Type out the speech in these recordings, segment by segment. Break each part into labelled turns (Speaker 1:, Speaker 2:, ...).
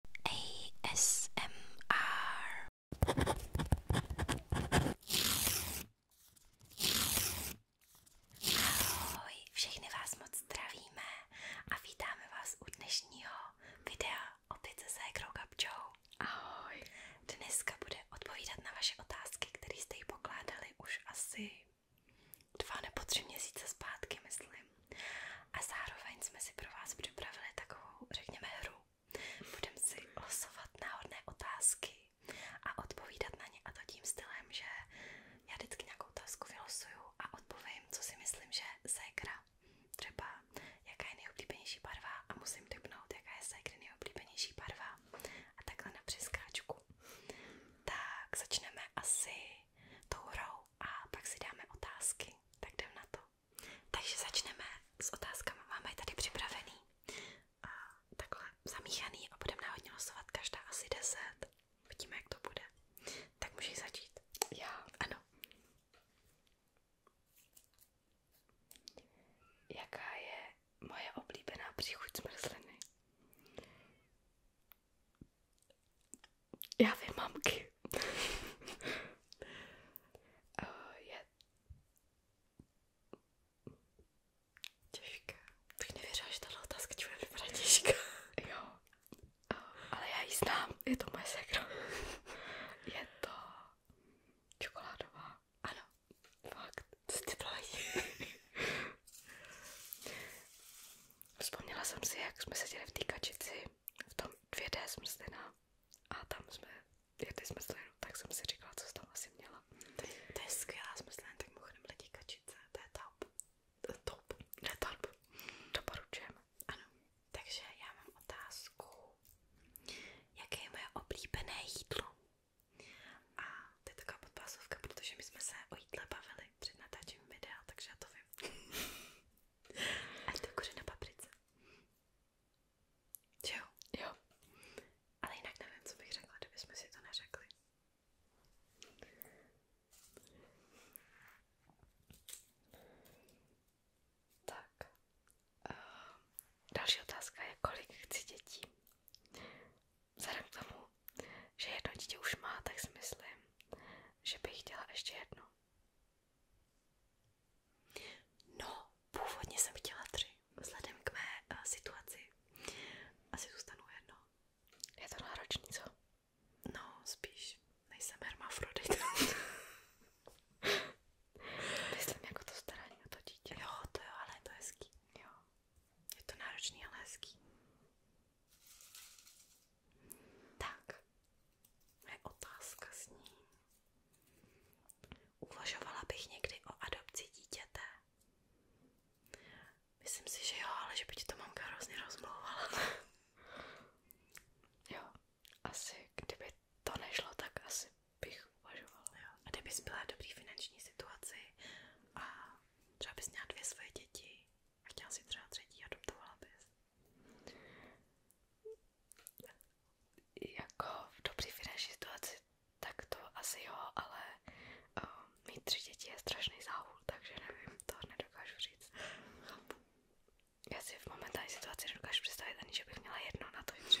Speaker 1: Ahoj, všechny vás moc zdravíme a vítáme vás u dnešního videa opět se Ahoj. Dneska bude odpovídat na vaše otázky, které jste jí pokládali už asi dva nebo tři měsíce zpátky, myslím. A zároveň jsme si pro vás připravili takovou, řekněme, hru. Budeme si losovat náhodné otázky a odpovídat na ně a to tím stylem, že já vždycky nějakou otázku vylosuju a odpovím, co si myslím, že ségra. Třeba jaká je nejoblíbenější barva a musím typnout, jaká je ségry nejoblíbenější barva. A takhle na přeskáčku. Tak začneme asi tou hrou a pak si dáme otázky. Tak jdem na to. Takže začneme s otázkami. Máme je tady připravený a takhle zamíchaný a budeme náhodně losovat každá asi 10. Vidíme, jak to bude. Tak můžeš začít. Já? Ano. Jaká je moje oblíbená příchuť zmrzliny? Já vím mamky. uh, je těžká. Bych že tato otázka ti bude vypadat jo. Eh, ale já ji to moje je to čokoládová. Ano. Fakt. Co ty to Vzpomněla jsem si, jak jsme seděli v té kačici v tom 2D smrzlina no. a tam jsme jedli smrzlinu, no, tak jsem si říkala, co jsi tam asi měla. To je, to je skvělá smrzlina, tak mimochodem lidi kačice, to je top. To je top. To je top. Doporučujem. Ano. Takže já mám otázku, jaké je moje oblíbené jídlo? A to je taková podpásovka, protože my jsme se o jídle bavili před natáčením videa, takže já to vím. Až to kuře jako, na paprice. Jo? Jo. Ale jinak nevím, co bych řekla, kdyby jsme si to neřekli. Tak. Uh, další otázka je, kolik chci dětí? Vzhledem k tomu, že jedno dítě už má, tak si myslím, že bych chtěla ještě jednu. No, původně jsem chtěla tři. Vzhledem k mé uh, situaci asi zůstanu jedno. Je to náročný, co? No, spíš nejsem hermafrodit. Myslím jako to starání o to dítě. Jo, to jo, ale to je to hezký. Jo. Je to náročný, ale hezký. Tak, je otázka s ní. Uvažovala bych někdy o adopci dítěte. Myslím si, že jo, ale že by ti to mamka hrozně rozmlouvala. jo, asi kdyby to nešlo, tak asi bych uvažovala. Jo. A kdybys byla v dobrý finanční situaci a třeba bys měla dvě svoje děti Chtěla si třeba třetí, adoptovala bys. Jako v dobrý finanční situaci, tak to asi jo, ale um, mít tři děti je strašný záhul, takže nevím, to nedokážu říct. Já si v momentální situaci nedokážu představit ani, že bych měla jedno na to tři.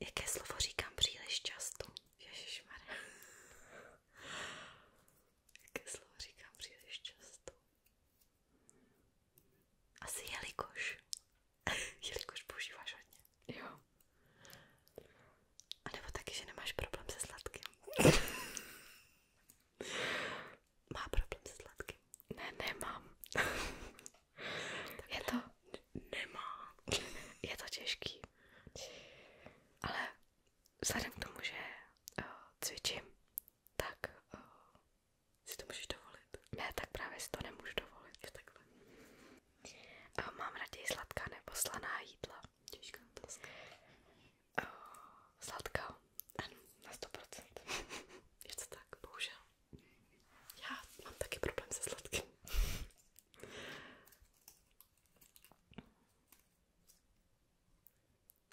Speaker 1: Jaké slovo říkám příliš často? Ježišmarja. Jaké slovo říkám příliš často? Asi jelikož. jelikož používáš hodně. Jo. A nebo taky, že nemáš problém se sladkým. Má problém se sladkým? Ne, nemám je to... Nemá. Je to těžký. Ale vzhledem k tomu, že eh, cvičím, tak eh, si to můžeš dovolit. Ne, tak právě si to nemůžu dovolit. Je takhle. Uh, mám raději sladká nebo slaná jídla. Těžká otázka. Eh, sladká. Ano, na 100%. je to tak, bohužel. Já mám taky problém se sladkým.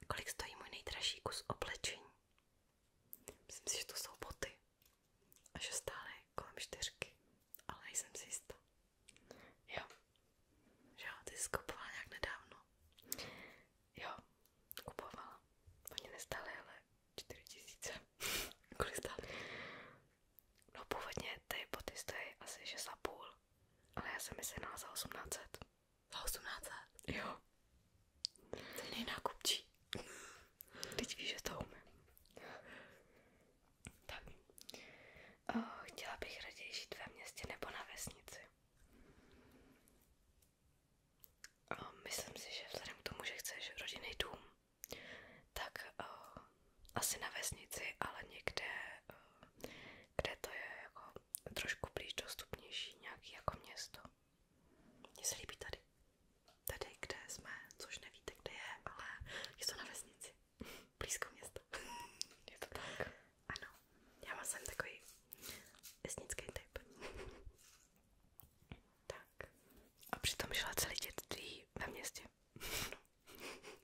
Speaker 1: Kolik stojí můj nejdražší kus oblečení? Myslím si, že to jsou boty a že stále kolem čtyřky, ale nejsem si jistá. Jo, že jo, ty jsi kupovala nějak nedávno. Jo, kupovala. Oni nestály, ale 4 tisíce. Kolik stály? No původně ty boty stojí asi 6,5, ale já jsem je sehnala za 1800. Za 1800? Jo. To je nákupčí. Teď víš, že to umím. Tak. O, chtěla bych raději žít ve městě nebo na vesnici. O, myslím si, že vzhledem k tomu, že chceš rodinný dům, tak uh, asi na vesnici, ale někde, uh, kde to je jako trošku blíž dostupnější, nějaký jako město. Mně se líbí tady. Tady, kde jsme, což nevíte, kde je, ale je to na vesnici. Blízko město. je to tak. Ano, já mám jsem takový vesnický typ. Tak. A přitom žila celé dětství ve městě.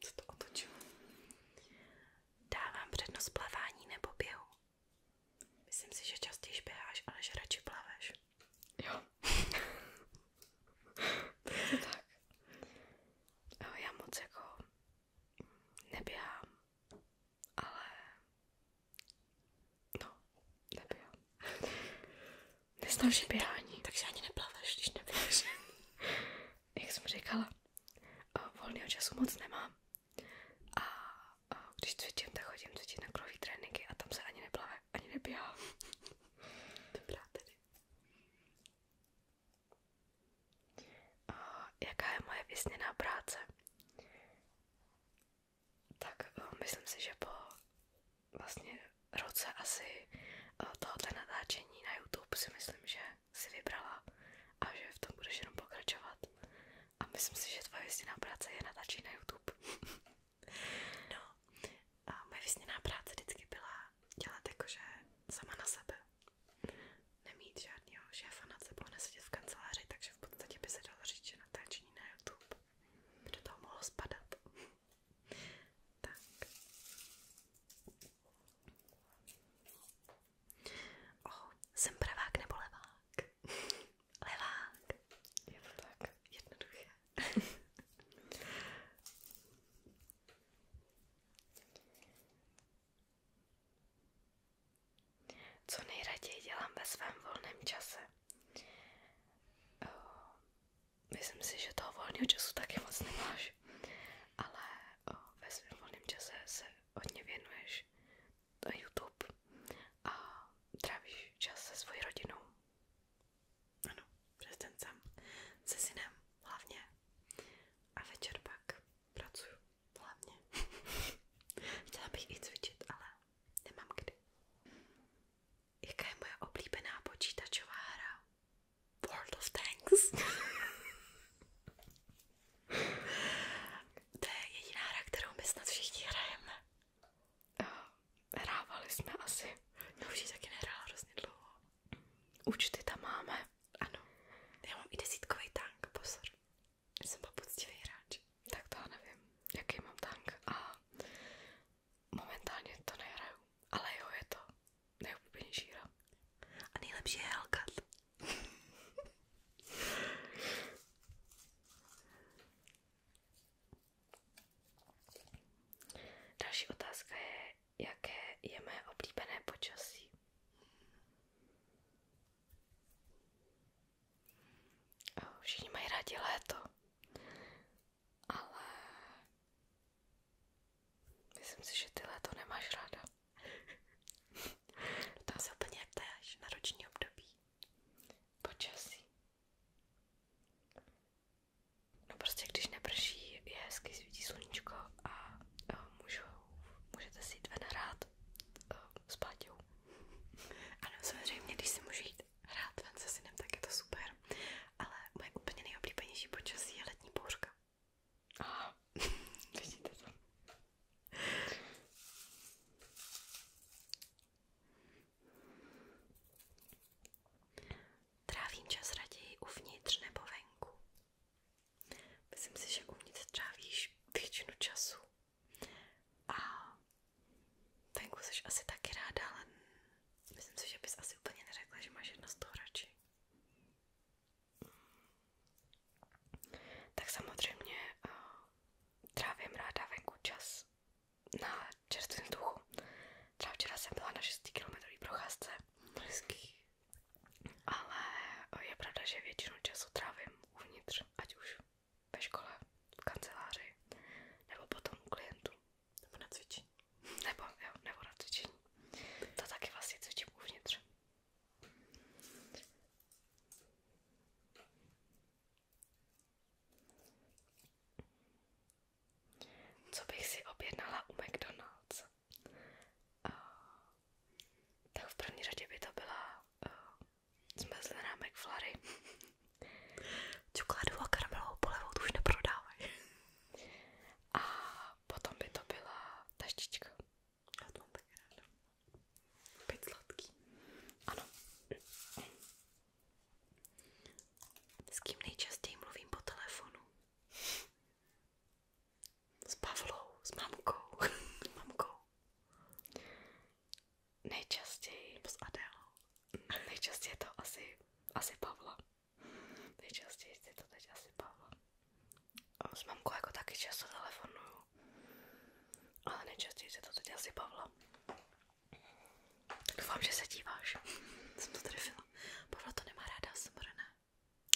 Speaker 1: Co to otočilo? Dávám přednost plavání nebo běhu. Myslím si, že častěji běháš, ale že radši plaveš. Jo. tak. Já moc jako neběhám, ale No, neběhám. Nesnáším takže, běhání. Takže ani neplaveš, když neběháš. Jak jsem říkala, eh, volného času moc nemám. A, když cvičím, tak chodím cvičit na klový tréninky a tam se ani neplave, ani neběhám. Dobrá tedy. A jaká je moje vysněná práce? tak uh, myslím si, že po vlastně roce asi uh, tohoto natáčení na YouTube si myslím, že si vybrala a že v tom budeš jenom pokračovat. A myslím si, že tvoje vysněná práce je natáčení na YouTube. no, a moje vysněná práce vždycky byla dělat jakože sama na sebe. Nemít žádného šéfa nad sebou, nesedět v kanceláři, takže v podstatě by se dalo říct, že natáčení na YouTube by do toho tak. Oh, pravák nebo levák? levák. Je to tak. Jednoduché. Co nejraději dělám ve svém volném čase? Uh, myslím si, že toho volného času taky moc nemáš, ale uh, ve svém volném čase se hodně věnuješ na YouTube a trávíš čas se svojí rodinou. Ano, přes ten sám, se synem hlavně. A večer pak pracuju hlavně. Chtěla bych i cvičit, ale nemám kdy. Jaká je moje oblíbená počítačová hra? World of Tanks. to je jediná hra, kterou my snad všichni hrajeme. Hrávali jsme asi. Já no, už ji taky nehrála hrozně dlouho. Účty tam máme. Ano. Já mám i desítkový tank, pozor. Jsem byl poctivý hráč, tak to nevím, jaký mám tank a momentálně to nehraju, ale jo, je to nejoblíbenější hra. A nejlepší je Hellcat. Další otázka je, jaké je mé oblíbené počasí. Všichni mají rádi léto, ale myslím si, že ty léto nemáš ráda. No tam se úplně ptáš na roční období. Počasí. No prostě když neprší, je hezky svítí sluníčko a, a eh, můžu, můžete si jít ven hrát. Eh, s Páťou. Ano, samozřejmě, když si můžu jít hrát ven se synem, tak je to super. Ale moje úplně nejoblíbenější počasí je letní bouřka. Aha, vidíte to. Trávím čas raději uvnitř nebo venku. Myslím si, že uvnitř trávíš většinu času a venku jsi asi taky ráda, ale myslím si, že bys asi úplně neřekla, že máš jedno z toho radši. Tak samozřejmě eh, trávím ráda venku čas na čerstvém vzduchu. Třeba včera jsem byla na 6 km procházce. Hezký. Ale je pravda, že většinu času trávím uvnitř, ať už ve škole, v kanceláři, nebo potom u na cvičení. Nebo, jo, nebo na cvičení. To taky vlastně cvičím uvnitř. Co bych si objednala u McDonald's? Eh, tak v první řadě by to byla eh, zmrzlená McFlurry. Čokoládu a karamelovou polevou tu už neprodávají. A potom by to byla taštička. Já to mám taky ráda. Opět sladký. Ano. S kým nejčastěji mluvím po telefonu? S Pavlou, s mamkou. s mamkou nejčastěji, nebo s Adélou, nejčastěji je to asi, asi Pavla. Nejčastěji je to teď asi Pavla. S mamkou jako taky často telefonuju, ale nejčastěji je to teď asi Pavla. Doufám, že se díváš. Jsem to trefila. Pavla to nemá ráda, jsem ne.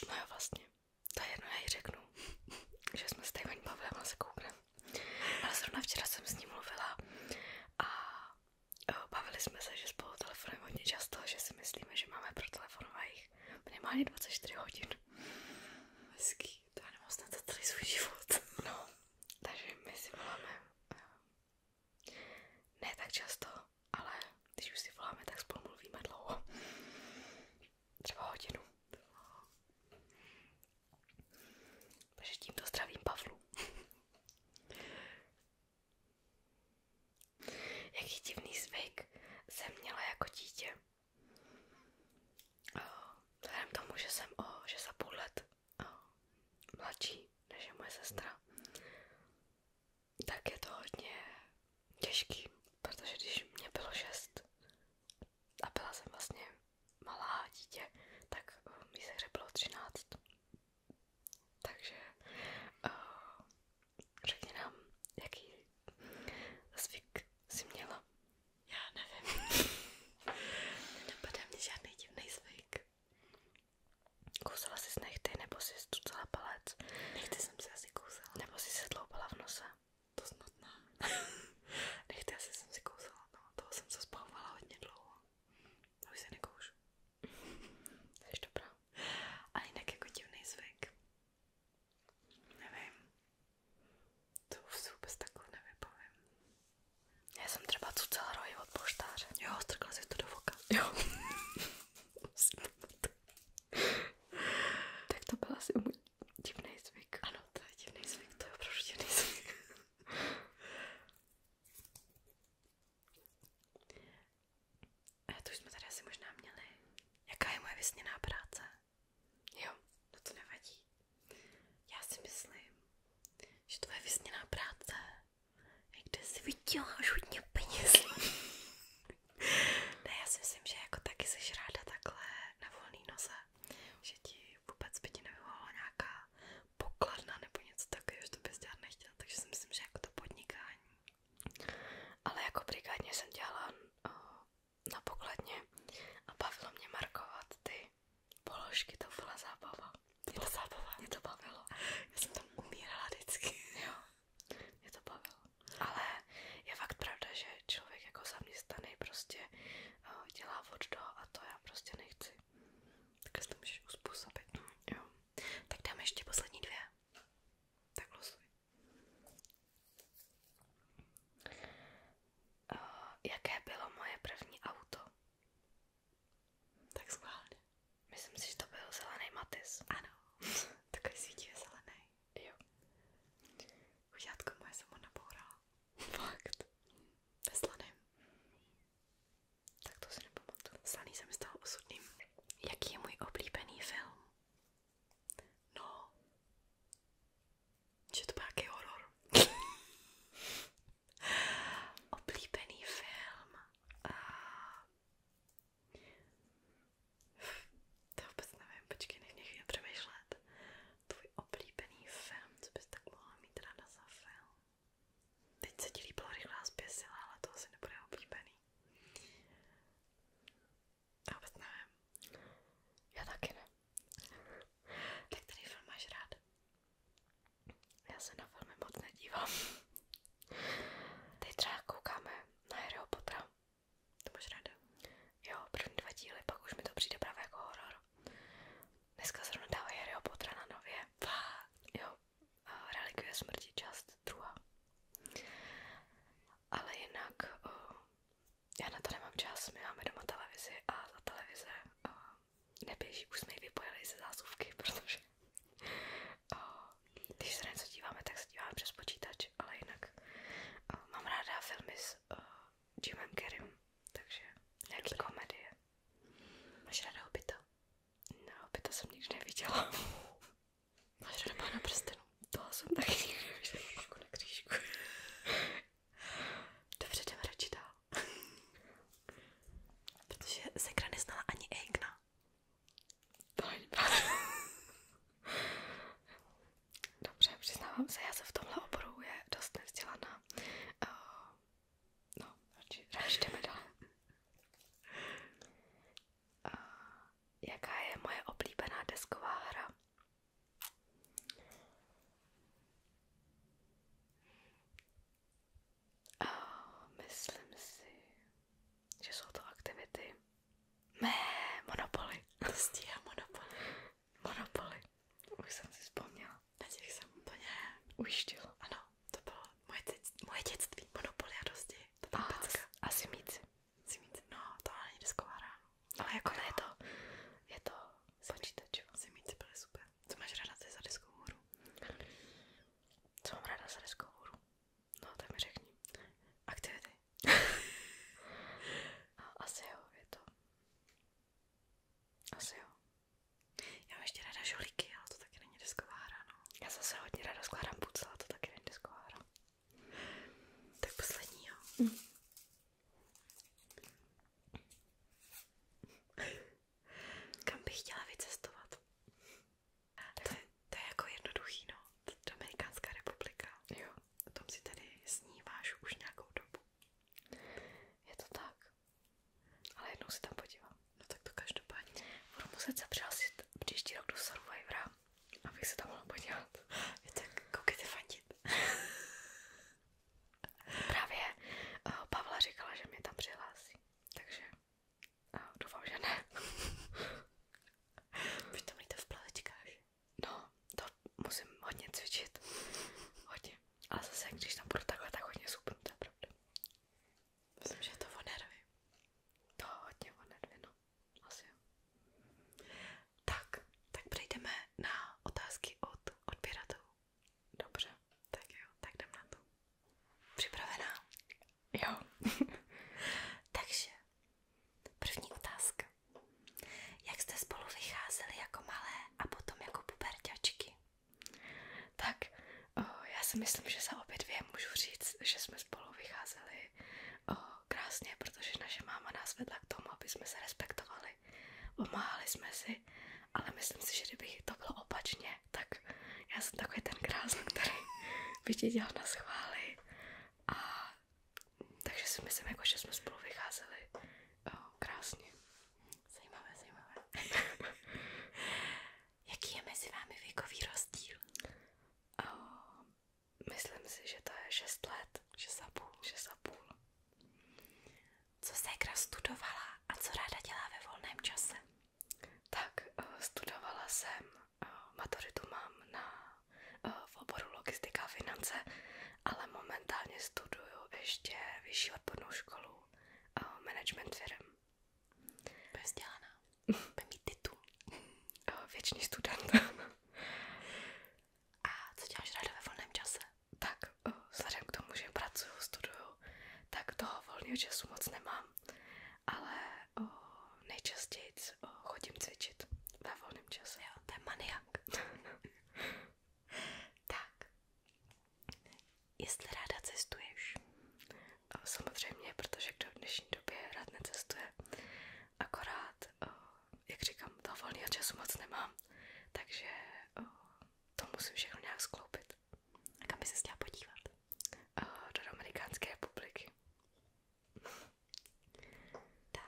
Speaker 1: No jo, vlastně. To je jedno, já jí řeknu, že jsme s Tejvaň Pavlem a se koukneme. Ale zrovna včera jsem s ním mluvila a eh, bavili jsme se, že spolu telefonujeme hodně často, že si myslíme, že máme pro a jich minimálně 24 hodin. Hezký, to já nemohu snad za celý svůj život. No, takže my si voláme eh, ne tak často, ale když už si voláme, tak spolu mluvíme dlouho třeba hodinu. Takže tímto zdravím Pavlu. Jaký divný zvyk jsem měla jako dítě. Vzhledem tomu, že jsem o, že za půl let o, mladší než je moje sestra, tak je to hodně těžký, protože když mě bylo šest, a byla jsem vlastně malá dítě, tak eh, mi se hře bylo 13. Takže uh, řekni nám, jaký zvyk si měla. Já nevím. Nenapadá mě žádný divný zvyk. Kousala jsi nechty, nebo jsi stucala palec? Nechty jsem se asi kousala. Nebo jsi se dloupala v nose? to snad ne. Nechte, jsem si kousala, no, toho jsem se zbavovala hodně dlouho. Už Jsi dobrá. A jinak jako divný zvyk. Nevím. To už si takhle nevybavím. Já jsem třeba cucala rohy od poštáře. Jo, strkla si to tak to byla asi můj divný zvyk. Ano, to je divný zvyk, to je opravdu divný zvyk. to už jsme tady asi možná měli. Jaká je moje vysněná práce? Jo, no to nevadí. Já si myslím, že tvoje vysněná práce je, kde si vyděláš hodně peněz. ne, já si myslím, že jako taky jsi ráda takhle na volný noze, že ti vůbec by ti nevyvolala nějaká pokladna nebo něco takového, že to bys dělat nechtěla, takže si myslím, že jako to podnikání. Ale jako brigádně jsem dělala o, uh, na pokladně a bavilo mě markovat ty položky, to byla zábava. Mě to, zábava. Mě to bavilo. Já jsem tam umírala vždycky. Jo, mě to bavilo. Ale je fakt pravda, že člověk jako zaměstnaný prostě eh, dělá od a to já prostě nechci. Tak si to můžeš uspůsobit. No, jo. Tak dáme ještě poslední dvě. Tak losuj. Eh, jaké bylo moje první auto? Tak schválně. Myslím si, že to byl zelený Matis. Ano. Takový svítí zelený. Jo. Kužátka moje jsem ho nabourala. Fakt. Ve slaném. Tak to si nepamatuju. Slaný se mi stal osudným. Jaký je můj oblíbený film? No. Že to byl jaký horor. oblíbený film. Uh, to vůbec nevím, počkej, nech mě chvíli přemýšlet. Tvůj oblíbený film, co bys tak mohla mít ráda za film? Teď se ti líbila rychlá zběsila, ale to asi nebude oblíbený. Já vůbec nevím. Já taky ne. Tak který film máš rád? Já se na filmy moc nedívám. Teď třeba koukáme na Harryho Pottera to máš ráda? Jo, první dva díly, pak už mi to přijde právě jako horor. Dneska zrovna dávají Harryho Pottera na nově. Pá, jo, relikvie smrti, část druhá. Ale jinak, uh, já na to nemám čas, my máme doma televizi a ta televize uh, neběží, už jsme ji vypojili ze zásuvky, protože uh, když se něco díváme, tak se díváme přes počítač, ale jinak uh, mám ráda filmy s uh, Jimem Carreym, takže nějaký Dobrý. komedie. Máš ráda Hobita? No, Hobita jsem nikdy neviděla. Máš ráda Pána prstenu? To jsem taky nikdy neviděla. Křížku na křížku. Dobře, jdeme radši dál. Protože Sekra neznala ani Eigna. To není Dobře, přiznávám se, já se v tomhle oboru je dost nevzdělaná. Uh, no, radši jdeme dál. Uh, jaká je moje oblíbená desková hra? Uh, myslím si, že jsou to aktivity, Mé, Monopoly. Stíhá Monopoly. Monopoly. Už jsem si vzpomněla. Na těch jsem úplně ujištila. Ano, to bylo moje, dětství, moje dětství. Monopoly a dosti. To byla oh, pecka. A simíci. Simíci, no, to není disková hra. Ale jako no. ne, je to, je to počítač. Simíci byly super. Co máš ráda ty za diskovou hru? Co mám ráda za diskovou hru? No, tak mi řekni. Aktivity. Asi jo, je to. Asi jo. Já mám ještě ráda žolíky, ale to taky není desková hra, no. Já zase hodně ráda skládám pucle, ale to taky není desková hra. Tak poslední, jo. Mm. Kam bych chtěla vycestovat? To je, to je jako jednoduchý, no. Dominikánská republika. Jo. O tom si tady sníváš už nějakou dobu. Je to tak. Ale jednou si tam podívám. No tak to každopádně. Budu muset se přihlásit příští rok do Survivora, abych se tam mohla podívat. Je tak, koukejte fandit. Právě eh, Pavla říkala, že mě tam přihlásí. Takže a doufám, že ne. Vy to mlíte v plavečkách? No, to musím hodně cvičit. Hodně. Ale zase, když tam budu takhle, tak hodně supnu, to je pravda. Myslím, že je to o nervy. To hodně o nervy, no. Asi jo. Tak, tak přejdeme na otázky od odběratelů. Dobře. Tak jo, tak jdem na to. Připravená? Jo. Takže, první otázka. Jak jste spolu vycházeli jako malé a potom jako puberťačky? Tak, o, já si myslím, že za obě dvě můžu říct, že jsme spolu vycházeli o, krásně, protože naše máma nás vedla k tomu, aby jsme se respektovali. Pomáhali jsme si, ale myslím si, že kdyby to bylo opačně, tak já jsem takový ten krásný, který by dělal na schvály. A takže si myslím, jako, že jsme spolu vycházeli o, eh, krásně. Zajímavé, zajímavé. Jaký je mezi vámi věkový rozdíl? O, eh, myslím si, že to je 6 let. 6,5. 6,5. Co ségra studovala a co ráda dělá ve volném čase? Tak, eh, studovala jsem maturitu mám na, eh, v oboru logistika a finance, ale momentálně studuju ještě vyšší odbornou školu eh, management firm. Bude vzdělaná. Bude mít titul. Eh, věčný student. a co děláš ráda ve volném čase? Tak, vzhledem k tomu, že pracuju, studuju, tak toho volného času moc nemám ale nejčastěji chodím cvičit ve volném čase. Jo, to maniak. tak, jestli ráda cestuješ? samozřejmě, protože kdo v dnešní době rád necestuje, akorát, o, jak říkám, toho volného času moc nemám, takže to musím všechno nějak skloupit. A kam by se chtěla podívat? Uh, do Dominikánské republiky. tak,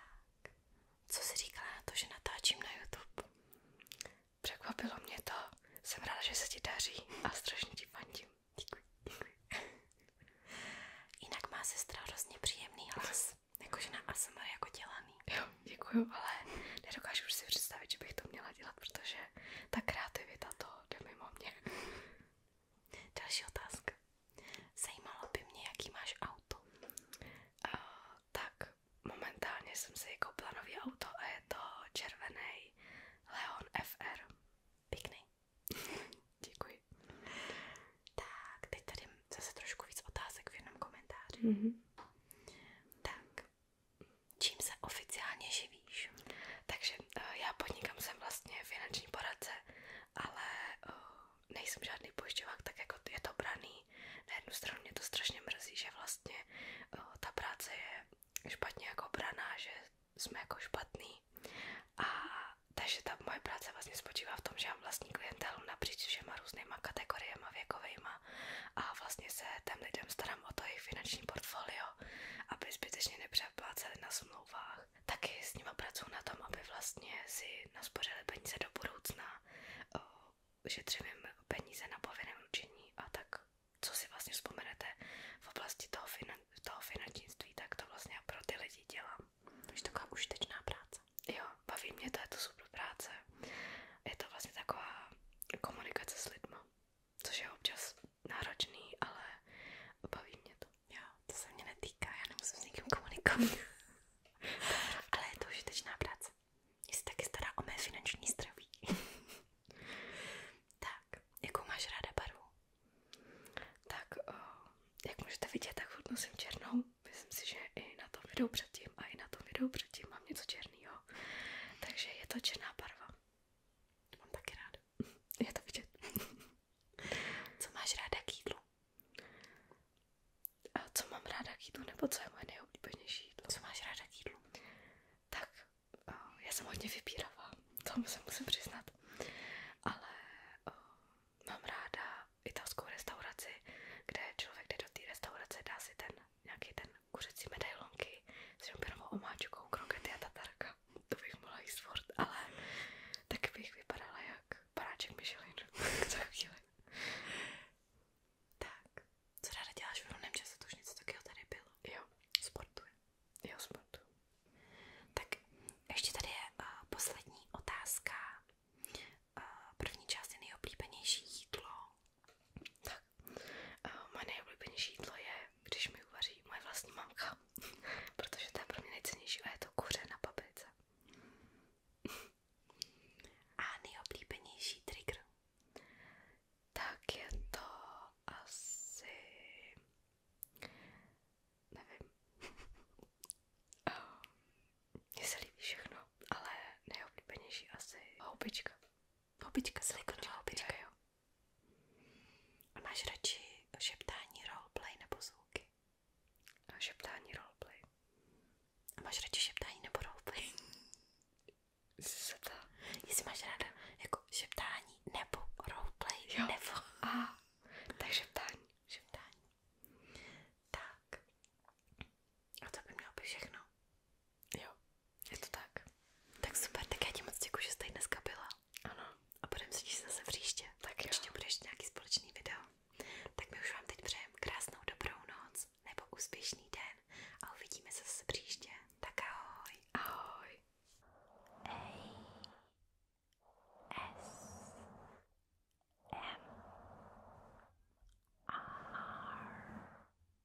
Speaker 1: co jsi říkala na to, že natáčím na YouTube? Překvapilo mě to. Jsem ráda, že se ti daří a strašně ti fandím. Děkuji, děkuji. Jinak má sestra hrozně příjemný hlas. Jakože na ASMR jako dělaný. Jo, děkuju, ale nedokážu už si představit, že bych to měla dělat, protože ta kreativita to jde mimo mě. Další otázka. Zajímalo by mě, jaký máš auto. Uh, tak momentálně jsem si koupila nový auto a je to červený Leon FR. Pěkný. Děkuji. Tak, teď tady zase trošku víc otázek v jednom komentáři. Mm -hmm. Tak, čím se oficiálně živíš. Takže eh, já podnikám, jsem vlastně finanční poradce, ale eh, nejsem žádný pojišťovák, tak jako je to braný. Na jednu stranu mě to strašně mrzí, že vlastně eh, ta práce je špatně jako braná, že jsme jako špatný. A takže ta moje práce vlastně spočívá v tom, že mám vlastní klientelu napříč všema různýma kategoriema věkovejma a vlastně se tam lidem starám o to jejich finanční portfolio aby zbytečně nepřepláceli na smlouvách. Taky s nima pracuji na tom, aby vlastně si naspořili peníze do budoucna, ušetřili peníze na povinném ručení a tak, co si vlastně vzpomenete v oblasti toho, finan toho finančnictví, tak to vlastně pro ty lidi dělám. je taková užitečná práce. Jo, baví mě to, je to super práce. Je to vlastně taková komunikace s lidmi což je občas náročný, ale baví mě to. Jo, to se mě netýká, já nemusím s někým komunikovat. ale je to užitečná práce. Mě se taky stará o mé finanční zdraví. tak, jakou máš ráda barvu? Tak, o, eh, jak můžete vidět, tak furt nosím černou. Myslím si, že i na tom videu předtím a i na tom videu předtím mám něco černého, Takže je to černá barva. To mám taky ráda. já to vidět. co máš ráda k jídlu? A co mám ráda k jídlu, nebo co je moje nejoblíbenější jídlo? Co máš ráda k jídlu? Tak, eh, já jsem hodně vybíravá, to se musím přiznat. Ale eh, mám ráda italskou restauraci, kde člověk jde do té restaurace, dá si ten nějaký ten kuřecí medailonky s šampionovou omáčkou, krokety a tatarka. To bych mohla jíst furt, ale taky bych vypadala jak paráček Michelin za chvíli. Tak, co ráda děláš v volném čase, to už něco takového tady bylo. Jo. Sportuje. Jo, sportu. Tak, ještě tady je uh, poslední otázka. Uh, první část je nejoblíbenější jídlo. Tak, Uh, moje nejoblíbenější je, když mi uvaří moje vlastní mamka, protože to pro mě nejcennější je to kuře na paprice. a nejoblíbenější trigger? Tak to asi... nevím. uh, Mně se líbí všechno, ale asi houbička. Houbička, slikovná houbička, jo. A máš radši šeptání roleplay nebo zvuky? A šeptání roleplay. A máš radši šeptání nebo roleplay? Co to? Jestli máš ráda jako šeptání nebo roleplay jo. nebo... A, tak šeptání. Šeptání. Tak. A to by mělo být všechno. Jo, je to tak. Tak super, tak já ti moc děkuji, že jsi tady dneska byla. Ano. A budeme se těšit zase příště. Tak jo. Určitě bude nějaký společný video. Tak my už vám teď přejeme krásnou dobrou noc nebo úspěšný den a uvidíme se zase příště. Tak ahoj. Ahoj. A S M R